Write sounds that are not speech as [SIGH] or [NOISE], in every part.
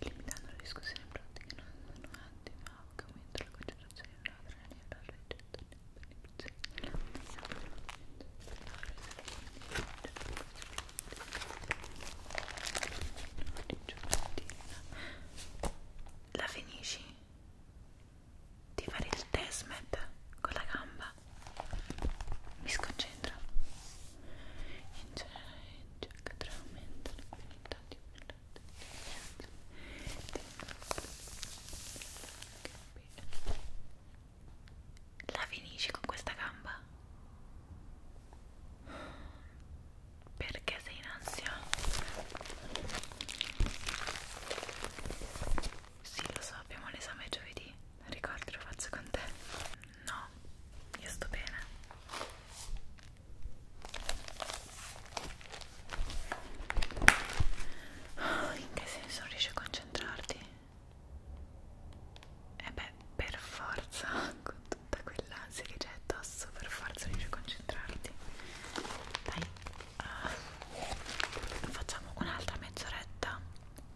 limitando la discussione in pratica non sono attimi ma aumenta la concentrazione in una trena e la reggenza nella la finisci? di fare il testmet con la gamba mi sconcentro incerca aumenta l'abilità di la finisci con questa gamba? Perché sei in ansia? Sì, lo so, abbiamo l'esame giovedì. Ricordi, lo faccio con te. No, io sto bene. Oh, in che senso non riesci a concentrarti? E eh beh, per forza, [LAUGHS] con tutta quell'ansia che c'è addosso, per forza riesci a concentrarti. Dai uh, facciamo un'altra mezz'oretta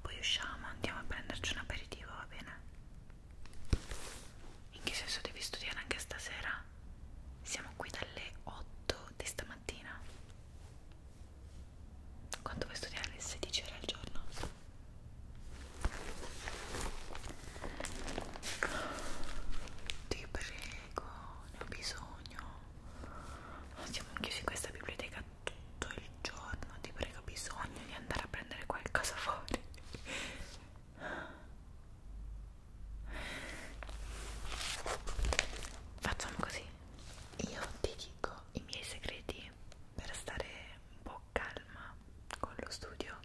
poi usciamo andiamo a prenderci un aperitivo va bene in che senso devi studiare anche stasera siamo qui dalle 8 di stamattina quanto vuoi studiare alle 16 ore al giorno ti prego ne ho bisogno siamo chiusi in questa biblioteca tutto il giorno ti prego ho bisogno di andare a prendere qualcosa fuori facciamo così io ti dico i miei segreti per stare un po' calma con lo studio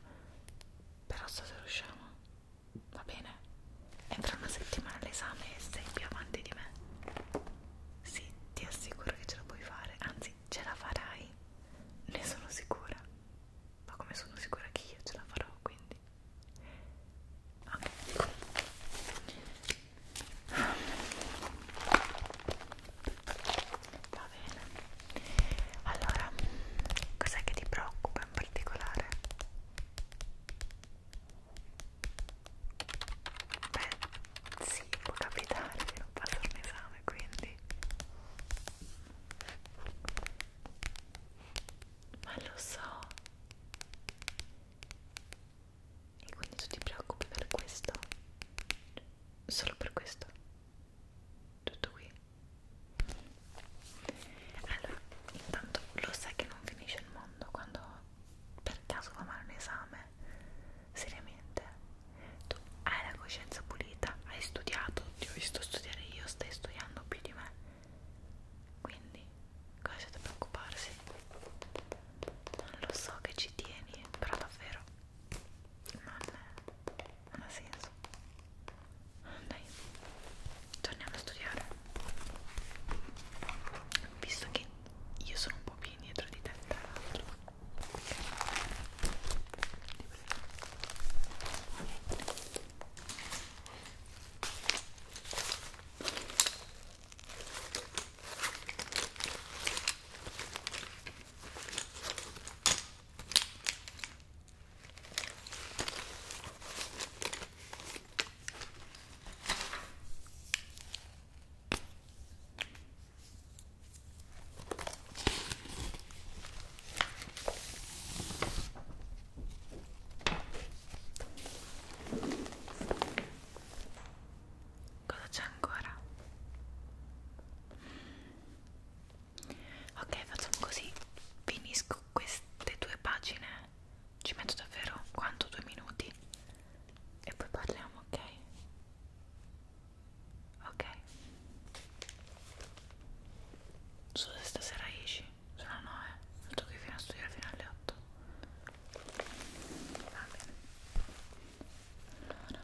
però so se riusciamo va bene? E fra una settimana l'esame e sei più avanti di me. Sì, ti assicuro che ce la puoi fare, anzi ce la farai, ne sono sicura. Ma come sono sicura che io ce la farò, quindi... Ok. Va bene. Allora, cos'è che ti preoccupa in particolare? Beh, sì, può capitare di non passare un esame, quindi... Ma lo so! E quindi tu ti preoccupi per questo? Solo per questo? Tutto qui? Allora, intanto lo sai che non finisce il mondo quando per caso fa male un esame? Seriamente? Tu hai la coscienza pulita, hai studiato, ti ho visto studiare io, stai studiando più di me. Quindi, cosa c'è da preoccuparsi? Non lo so che ci tieni, però davvero non, non ha senso. Dai torniamo a studiare visto che io sono un po' più indietro di te tra l'altro Cosa c'è ancora? Ok, facciamo così. Finisco queste due pagine ci metto davvero quanto due minuti e poi parliamo ok ok so se stasera esci se no no eh sto qui fino a studiare fino alle 8 va bene allora.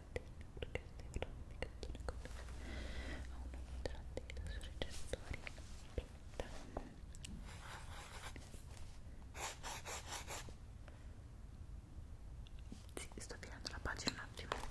catena perché stai praticando le cose a una contrattita sui recettori sì, sto tirando la pagina un attimo Qui.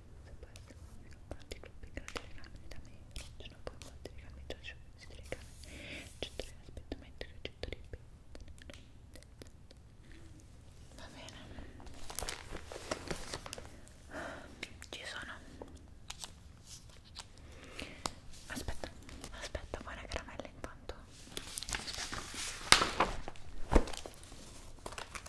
quanti piccoli telegrammi da me raggiungono poi quanti telegrammi già ci sono questi telegrammi accetto l'aspettamento che accetto ripeto va bene ci sono aspetta aspetta buona caramella intanto aspetta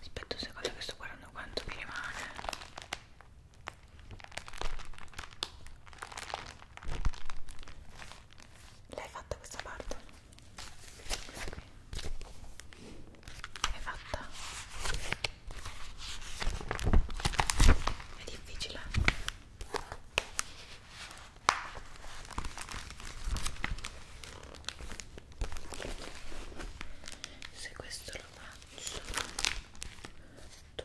Aspetta un secondo che sto guardando quanto mi rimane. L'hai fatta questa parte? Questa qui? L'hai fatta? È difficile? Se questo lo faccio, tu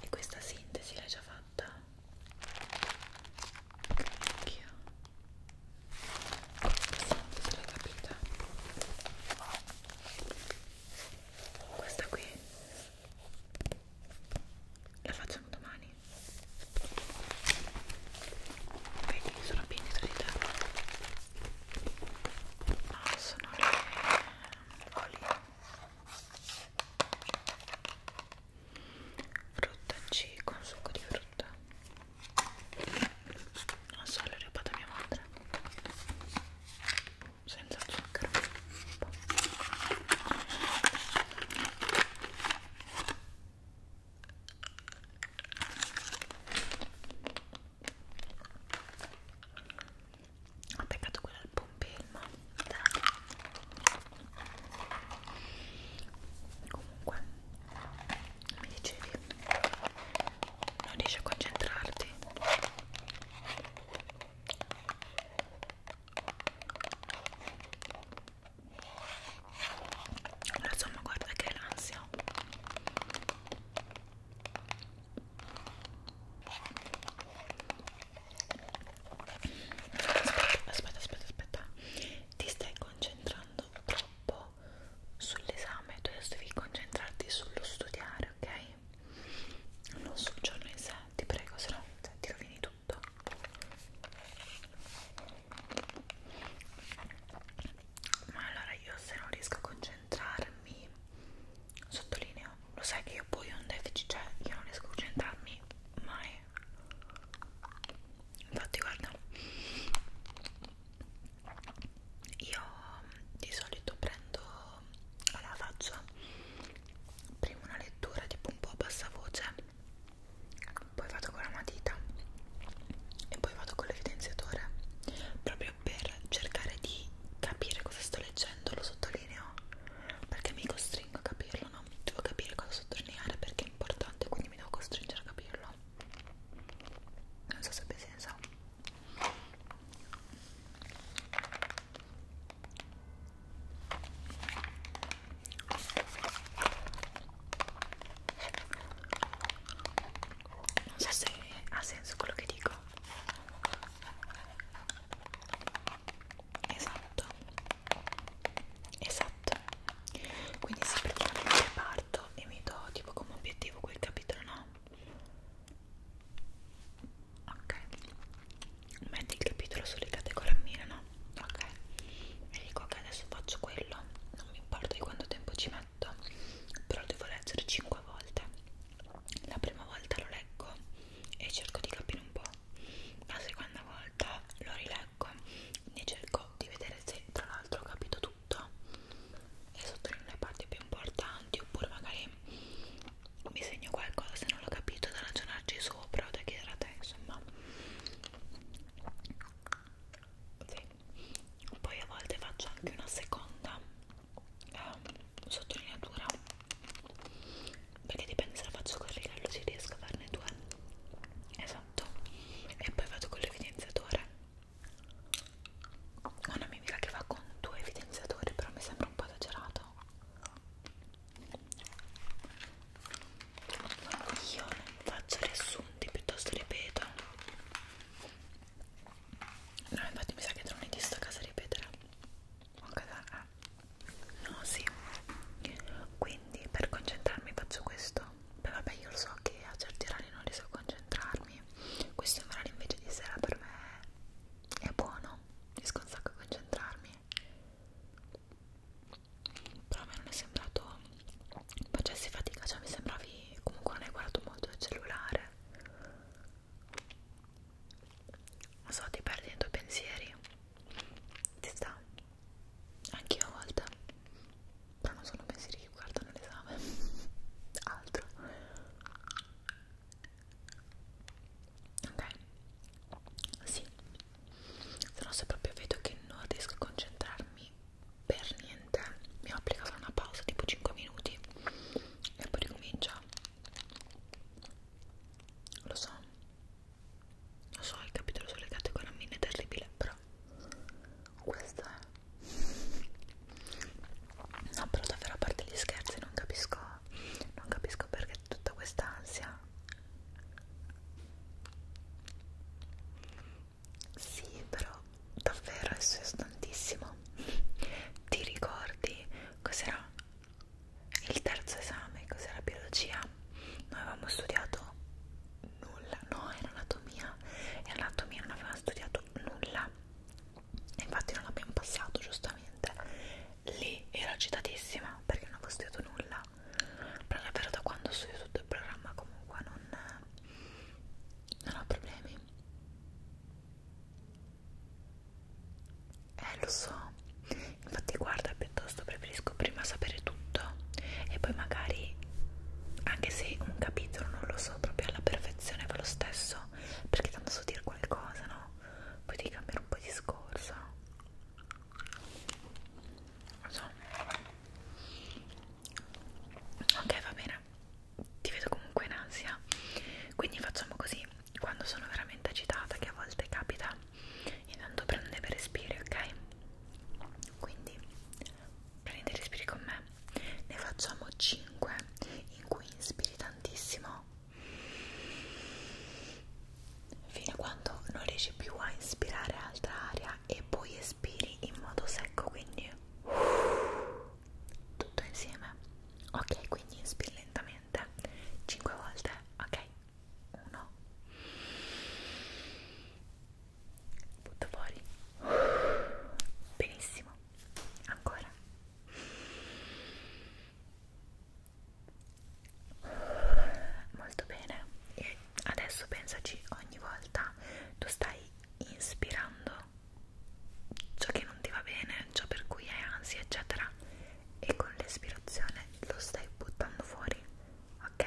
E questa sintesi l'hai già fatta? Anch'io. Questa sintesi l'hai capita? Questa qui la facciamo domani. Vedi, sono piena di te No, sono le olio frutta C con succo di frutta non so, l'ho rubata mia madre senza zucchero ho beccato quella al pompelmo comunque mi dicevi non riesci a concentrarti allora, insomma guarda che l'ansia aspetta aspetta aspetta ti stai concentrando troppo sull'esame tu adesso devi concentrarti sullo studiare ok non sul giorno in sé ti prego se no cioè, ti rovini tutto ma allora io se non riesco a concentrarmi sottolineo lo sai che io poi ho un deficit cioè io non riesco a concentrarmi mai infatti guarda io mm, di solito prendo alla faccia prima una lettura tipo un po' a bassa voce poi vado con la matita e poi vado con l'evidenziatore proprio per cercare di capire cosa sto leggendo lo sottolineo perché mi costringo a capirlo no? devo capire cosa sottolineare perché è importante quindi mi devo costringere a capirlo non so se abbia senso non so se ha senso quello che dico esatto esatto quindi se praticamente parto e mi do tipo come obiettivo quel capitolo no ok metti il capitolo sulle categorie mie no ok e dico che okay, adesso faccio quello non mi importa di quanto tempo ci metto perfetto però devo leggere 5 volte la prima volta lo leggo e cerco di capire un po' la seconda volta lo rileggo e cerco di vedere se tra l'altro ho capito tutto e sottolineo le parti più importanti oppure magari mi segno qualcosa se non l'ho capito da ragionarci sopra o da chiedere a te insomma sì poi a volte faccio anche una seconda eh, sottolineatura perché dipende se la faccio col righello se riesco a farne due esatto e poi vado con l'evidenziatore ho un'amica che va con due evidenziatori però mi sembra un po' esagerato io non faccio riassunti piuttosto ripeto No, infatti mi sa che non è di sta casa ripetere. Ah. No, sì. Quindi per concentrarmi faccio questo. Beh, vabbè, io lo so che a certi orari non riesco a concentrarmi. Questo orario invece di sera per me è buono. Riesco un sacco a concentrarmi. Però a me non è sembrato facessi fatica, cioè mi sembravi comunque non hai guardato molto il cellulare non so, ti perdi nei tuoi pensieri ti sta anch'io a volte però non sono pensieri che guardano l'esame [LAUGHS] altro ok sì se no se proprio vedo che non riesco a concentrarmi per niente mi applica solo una pausa tipo 5 minuti e poi ricomincia lo so lo so il capitolo sulle categoramine è terribile però questo è no però davvero a parte gli scherzi non capisco non capisco perché tutta questa ansia sì, però davvero adesso è tantissimo. [LAUGHS] Ti ricordi cos'era il terzo esame? Cos'era biologia? Noi avevamo studiato nulla, no, era anatomia e anatomia non avevamo studiato nulla. E infatti non l'abbiamo passato, giustamente. Lì ero agitatissima perché non avevo studiato nulla. Però davvero da quando ho studiato tutto il programma comunque non non ho problemi eh lo so infatti guarda piuttosto preferisco prima sapere tutto e poi magari anche se un capitolo non lo so proprio alla perfezione va lo stesso perché tanto so dire qualcosa no? poi devi cambiare un po' discorso non so ok va bene ti vedo comunque in ansia quindi facciamo così quando sono veramente agitata che a volte capita intanto prendo dei respiri ok quindi prendi i respiri con me ne facciamo 5 in cui inspiri tantissimo fino a quando non riesci più a inspirare altra aria e poi espiri in modo secco quindi tutto insieme ok quindi inspiri lentamente 5 volte ok 1 butto fuori benissimo ancora molto bene e adesso pensaci ogni volta tu stai inspirando ciò che non ti va bene, ciò per cui hai ansia, eccetera, e con l'espirazione lo stai buttando fuori, ok?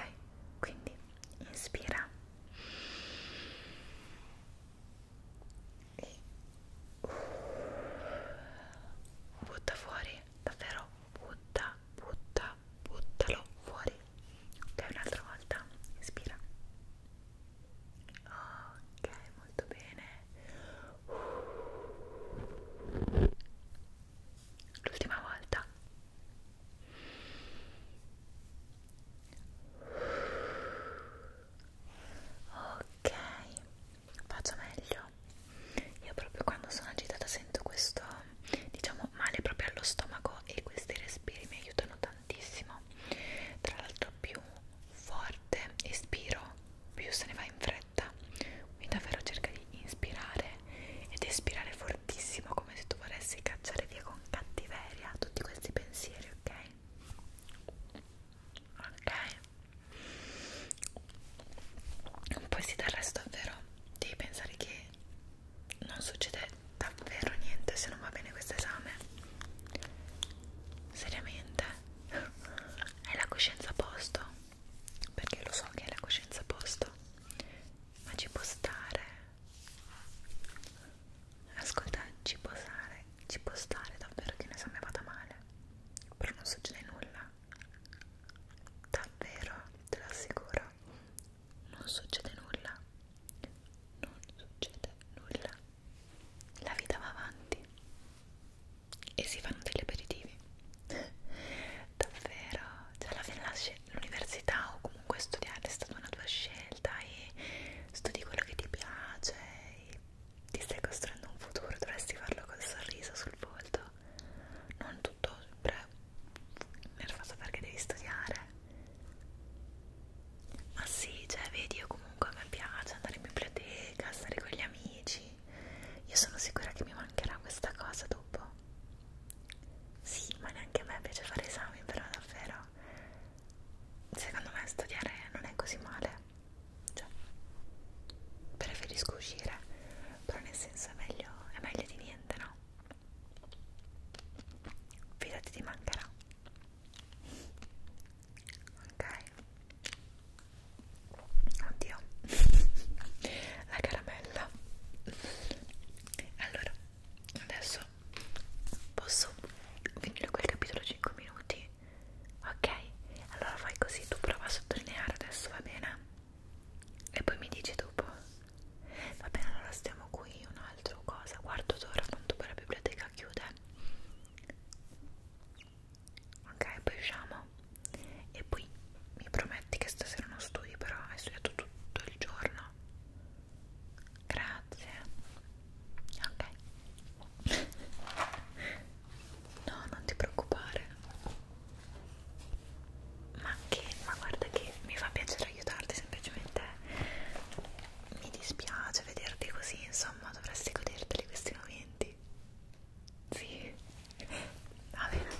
Quindi inspira e butta fuori, davvero butta, butta, buttalo fuori dai un'altra volta inspira ok molto bene l'ultima volta ok faccio meglio io proprio quando sono agitata sento questo diciamo male proprio allo stomaco e questi respiri mi aiutano tanto tantissimo tra l'altro più forte espiro più se ne va in fretta quindi davvero cerca di inspirare ed espirare fortissimo come se tu vorresti cacciare via con cattiveria tutti questi pensieri ok ok poi sì del resto davvero devi pensare che non succede davvero niente se non va bene questo esame seriamente hai la coscienza a posto perché lo so che hai la coscienza a posto ma ci può stare ascolta ci può stare ci può stare davvero che un esame vada male però non succede nulla davvero te lo assicuro non succede nulla non succede nulla la vita va avanti e si fanno degli aperitivi [LAUGHS] davvero cioè alla fine l'università o comunque studiare è stata una tua scelta e studi quello che ti piace e ti stai costruendo un futuro dovresti farlo col sorriso sul volto non tutto sempre nervosa perché devi studiare ma sì, cioè vedi io comunque a me piace andare in biblioteca, stare con gli amici io sono sicura che mi mancherà questa cosa dopo sì, ma neanche a me piace fare esami però davvero secondo me studiare non è così male cioè preferisco uscire però nel senso è meglio, è meglio di niente, no? fidati ti mancherà ok oddio [LAUGHS] la caramella allora adesso posso finire quel capitolo 5 minuti ok allora fai così tu prova a sottolineare adesso va bene e poi mi dici dopo Va bene, allora stiamo qui. Un'altra cosa, quarto d'ora appunto per la biblioteca chiude. Ok, poi usciamo. E poi mi prometti che stasera non studi, però hai studiato tutto il giorno. Grazie. Ok. No, non ti preoccupare. Ma che, ma guarda che mi fa piacere aiutarti semplicemente mi dispiace vederti così, insomma, dovresti goderteli questi momenti. Sì, va bene.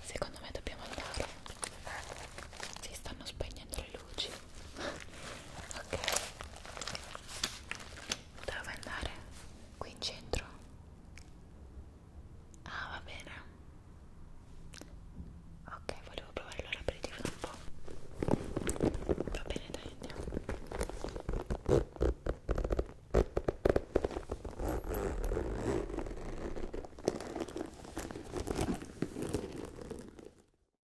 Secondo me dobbiamo andare. Si stanno spegnendo le luci ok dove andare? qui in centro? ah va bene ok volevo provare l'aperitivo da un po' va bene dai andiamo